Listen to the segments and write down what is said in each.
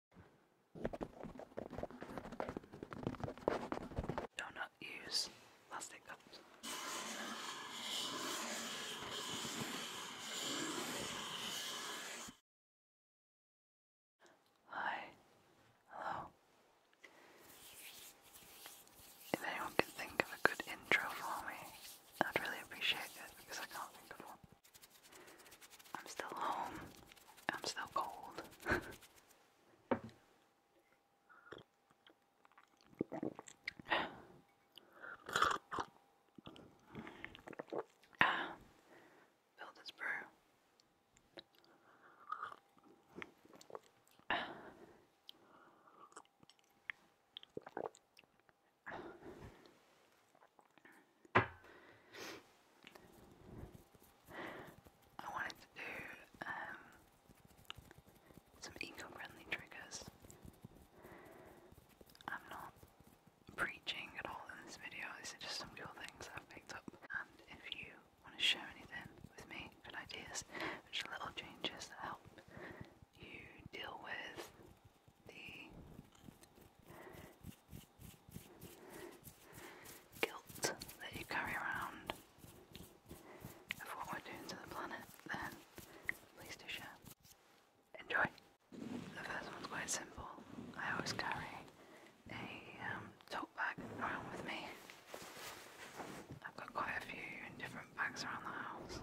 Do not use plastic cups. Hi. Hello. If anyone can think of a good intro for me, I'd really appreciate it because I can't think of one. I'm still home. I'm still cold. ah, fill this brew. I wanted to do um, some eco-friendly triggers. I'm not preaching at all in this video, these are just some cool things I've picked up. And if you want to share anything with me, good ideas, just little changes that help you deal with the guilt that you carry around of what we're doing to the planet, then please do share. Enjoy! The first one's quite simple. I always carry a um, tote bag around with me. I've got quite a few in different bags around the house.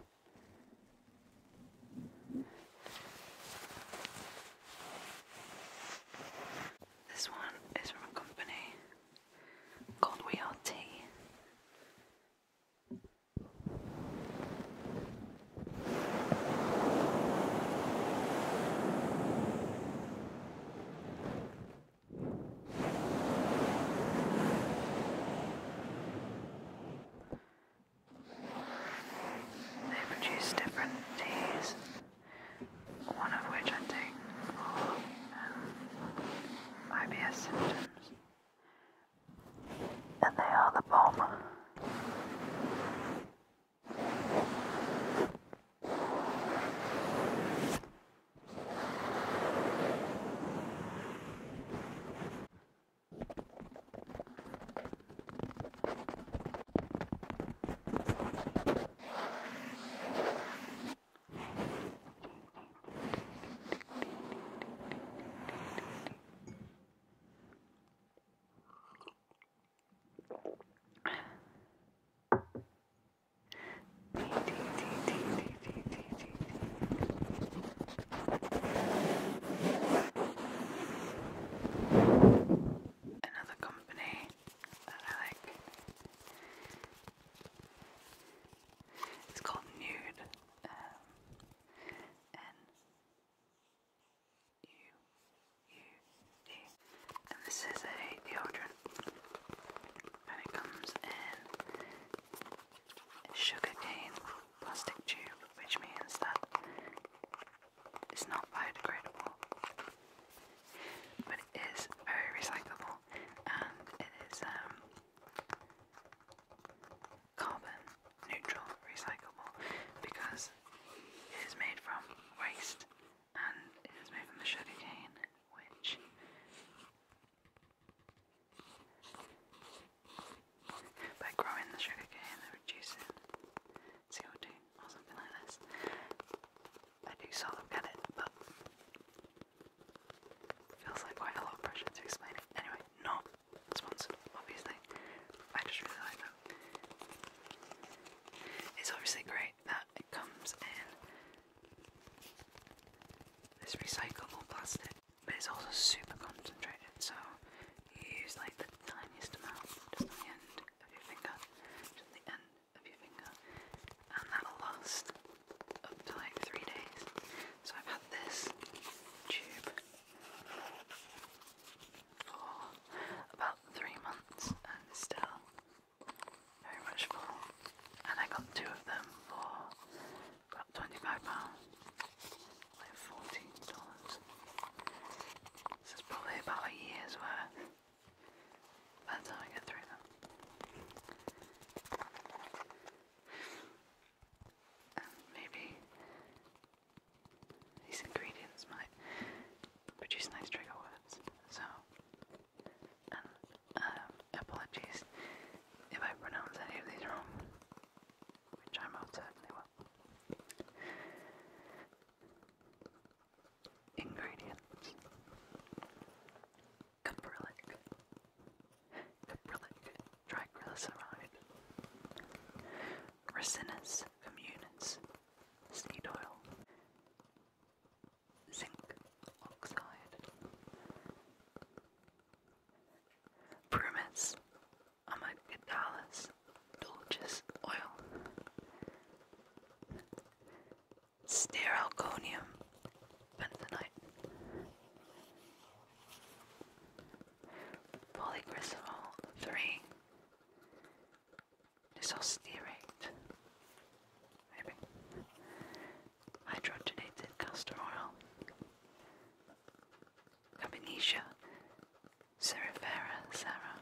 This one is from a company called We Are Tea. They produce different teas one of which I take for IBS symptoms, and they are the bomb. Another company that I like. It's called Nude. Um, N U U D. And this is a deodorant. And it comes in a sugarcane plastic tube, which means that it's not biodegradable, but it is very recyclable and it is um, carbon neutral recyclable because it is made from waste and it is made from the sugarcane, which by growing the sugarcane and reducing CO2 or something like this. I do sort of get it, but feels like quite a lot of pressure to explain it. Anyway, not sponsored, obviously. I just really like that. It's obviously great that it comes in this recyclable plastic, but it's also super concentrated, so you use like the tiniest amount just on the end of your finger, just the end of your finger, and that'll last up to like three days. So I've had this tube for about three months and still very much full. And I got two of them for about twenty-five pounds, like fourteen dollars. This is probably about a year's worth. That's how I get through them. maybe these ingredients might produce nice trigger words. So, um, apologies if I pronounce any of these wrong, which I most certainly will. Ingredients Caprylic Caprylic triglyceride Ricinus communis seed oil Zinc oxide Brumus amygdalus dulcis oil Steralconium bentonite, polycrystal three, disosterate, hydrogenated castor oil, Gabinesia, cerifera, Sarah,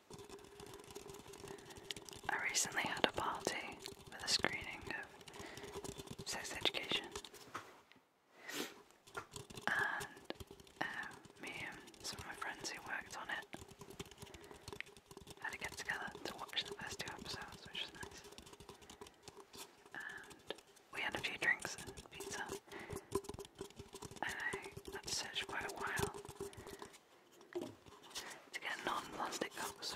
I recently had a party with a screening of Sex Education. And um, me and some of my friends who worked on it had to get together to watch the first two episodes, which was nice. And we had a few drinks and pizza and uh, I searched quite a while to get non-plastic box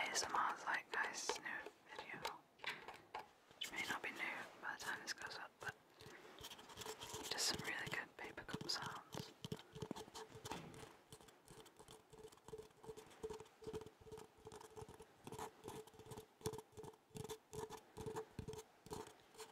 ASMR is like guys new video, which may not be new by the time this goes up, but just some really good paper cup sounds.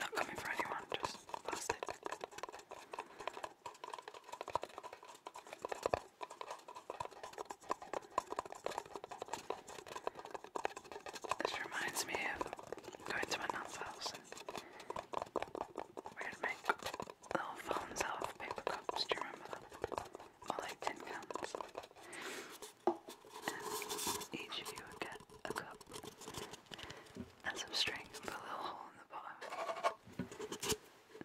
Not coming for anyone, just lost This reminds me of going to my nan's house and we'd make little phones out paper cups, do you remember that? Or tin cans. each of you get a cup and some string and put a little hole in the bottom.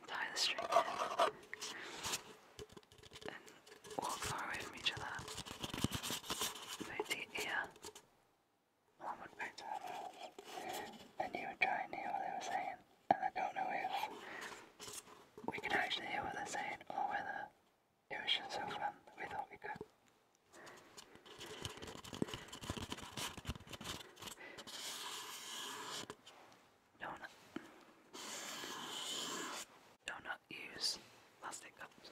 tie the string And walk far away from each other. Move the ear. One would move to And you would try and hear what they were saying. And I don't know if we could actually hear what they're saying or whether it was just so fun we thought we could. Donut. Donut use plastic cups.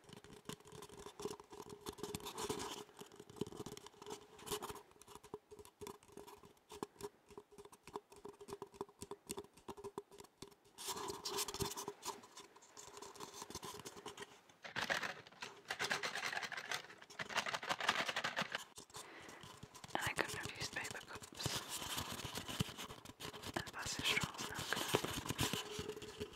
And I couldn't have used paper cups and plastic straws now, could I? Paper,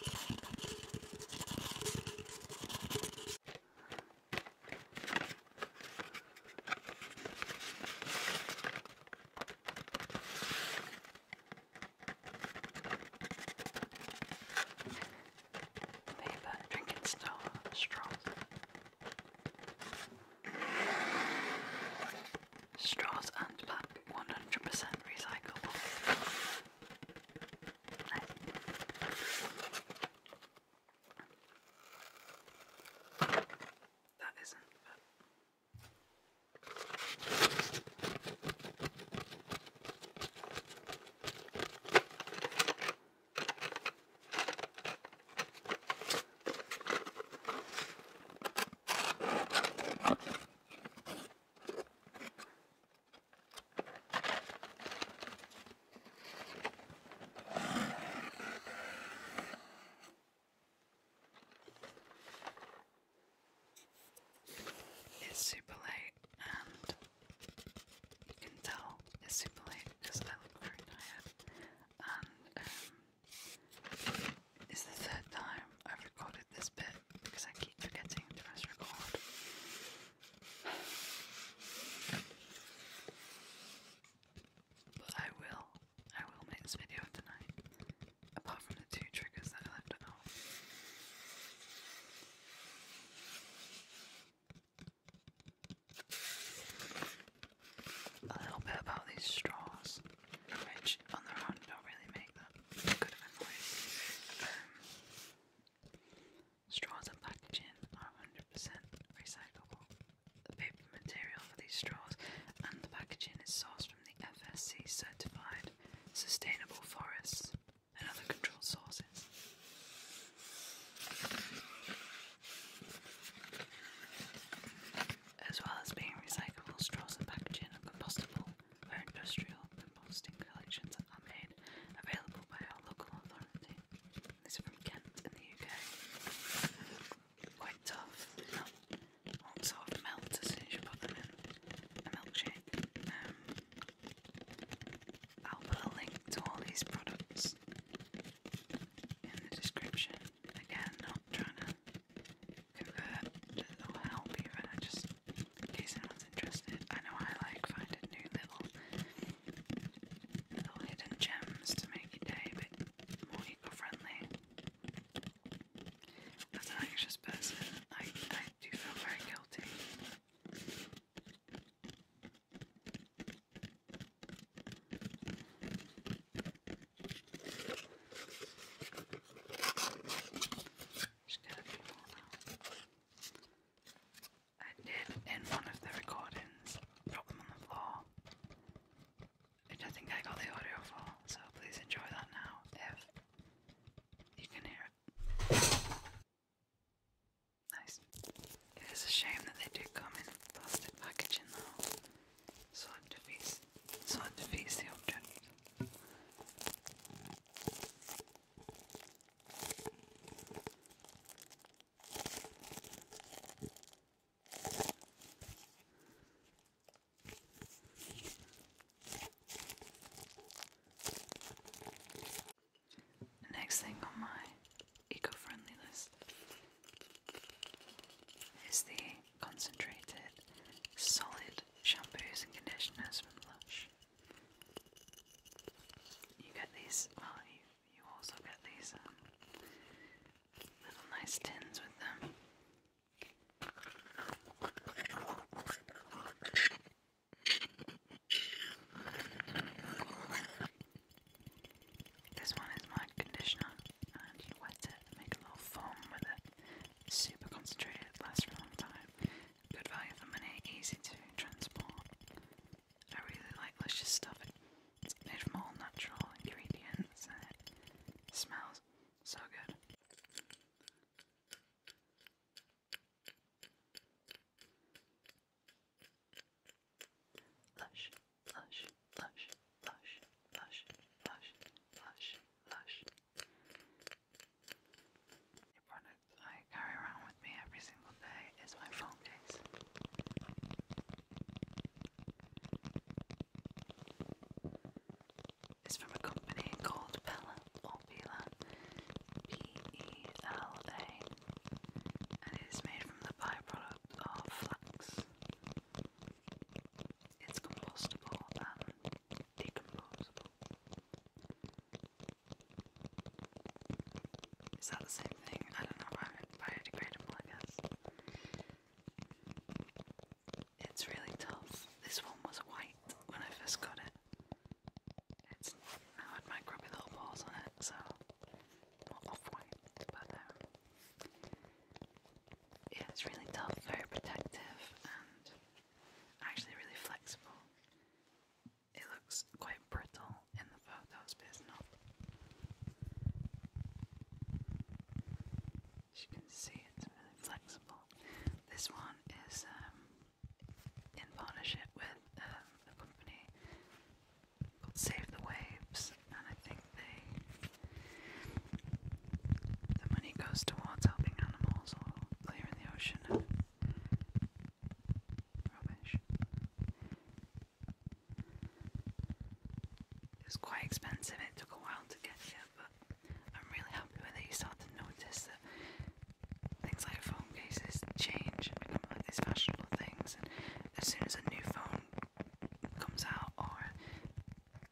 drinking straw, straws. Straws and black, 100% recyclable. That isn't, but. It's super late, and you can tell it's super late because I look very tired. And um, it's the third time I've recorded this bit because I keep forgetting to press record. But I will, I will make this video tonight. Apart from the two triggers that I left at A little bit about these straws, which on their own don't really make that good of a Straws and packaging are 100% recyclable. The paper material for these straws and the packaging is sourced from the FSC certified sustainable forests and other controlled sources. As well as being recyclable, straws and packaging are compostable where industrial composting collections that are made available by our local authority. This is from Kent in the UK. Quite tough, not, will melt as you put them in a milkshake. Um, I'll put a link to all these products in the description. Again, not trying to convert or help you, but I just in case anyone's interested. I know I like finding new little little hidden gems to make your a bit more eco-friendly. As an anxious person, I I do feel very guilty. Just get a few more now. I did in one of the recordings drop on the floor, which I think I got the audio for, so please enjoy that now if you can hear it. Nice. It is a shame that they do come in plastic packaging though, so it defeats, so it defeats the Next thing on my eco-friendly list is the concentrated solid shampoos and conditioners from Lush. You get these, well, you, you also get these um, little nice tins with them. This one is my conditioner, and you wet it make a little foam with it. super concentrated, lasts for a long time. Good value for money, easy to transport. I really like luscious stuff. It's made from all natural ingredients and it smells so good. Lush, lush, lush, lush, lush, lush, lush, lush. It runs that I carry around with me every single day is my phone case. It's from a company called Pella Pela, and it is made from the byproduct of flax. It's compostable and decomposable. Is that the same thing? I don't know. I'm biodegradable, I guess. It's really tough. This one was white when I first got it. It's now had microbe little balls on it, so not off white, but um, yeah, it's really tough, very protective, and actually really flexible. It looks quite brittle in the photos, but it's not. As you can see, it's really flexible. This one is um, in partnership with the um, company called Save the Waves, and I think they the money goes towards helping animals or clearing the ocean. Rubbish. It was quite expensive, it took a while to get here, but I'm really happy with it. You start to notice that things like phone cases change and become like these fashionable things, and as soon as a new phone comes out, or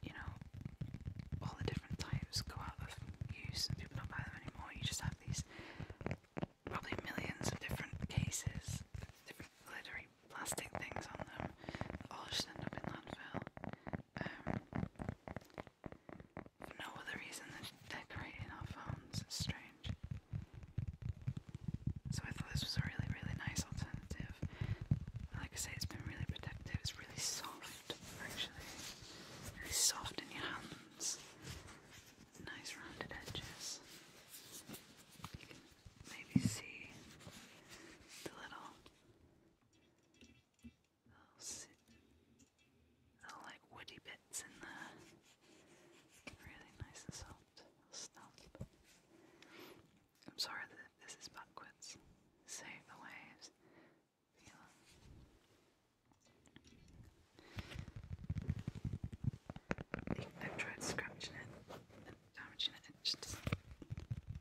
you know, all the different types go out of use and people don't buy them anymore, you just have these probably millions of different cases, different glittery plastic things on them all just end up in landfill. Um, no other reason than decorating our phones. It's strange. So I thought this was a really, really nice alternative. Like I say, it's been really protective. It's really soft, actually. Really soft in your hands nice rounded edges. maybe see the little, little, little like woody bits in the really nice and soft I'm sorry that this is backwards. Save the waves. Feel I've tried scratching it and damaging it, just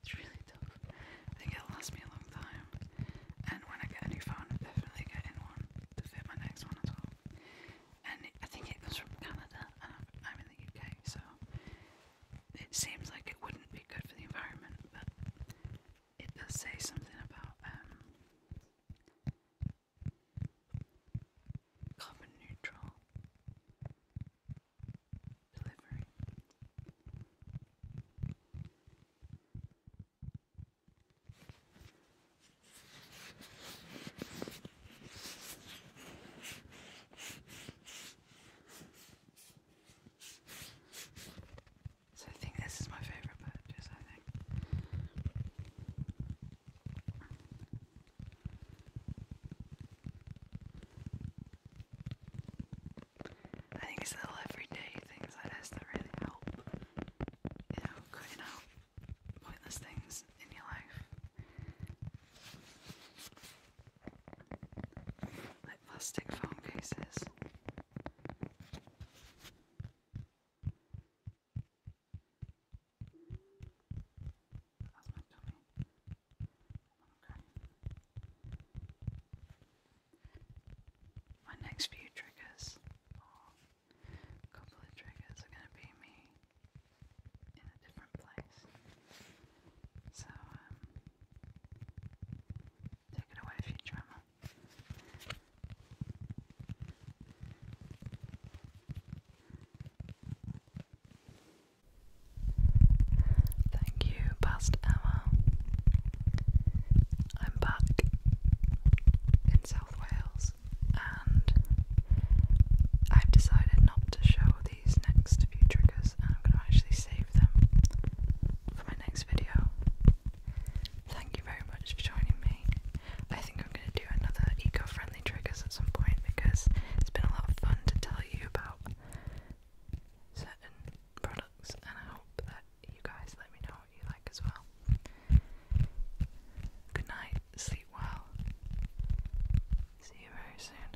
It's really tough. I think it'll last me a long time. And when I get a new phone, I'm definitely getting one to fit my next one as well. And I think it comes from Canada, I'm, in the UK, so it seems like it wouldn't be good for the environment, but it does say something about um, carbon neutral delivery. So I think this is my favorite purchase, I think. I think it's the everyday things like this that really help. You know, cutting out pointless things in your life. Like plastic phone cases. That's my Okay. My next few triggers, a couple of triggers, are going to be me in a different place. So, um, take it away, Futurama. Thank you, past Emma. I'm back in South Wales and I've decided not to show these next few triggers I'm going to actually save them for my next video. Thank you very much for joining me. I think I'm going to do another eco-friendly triggers at some point because it's been a lot of fun to tell you about certain products and I hope that you guys let me know what you like as well. Good night, sleep well. See you very soon.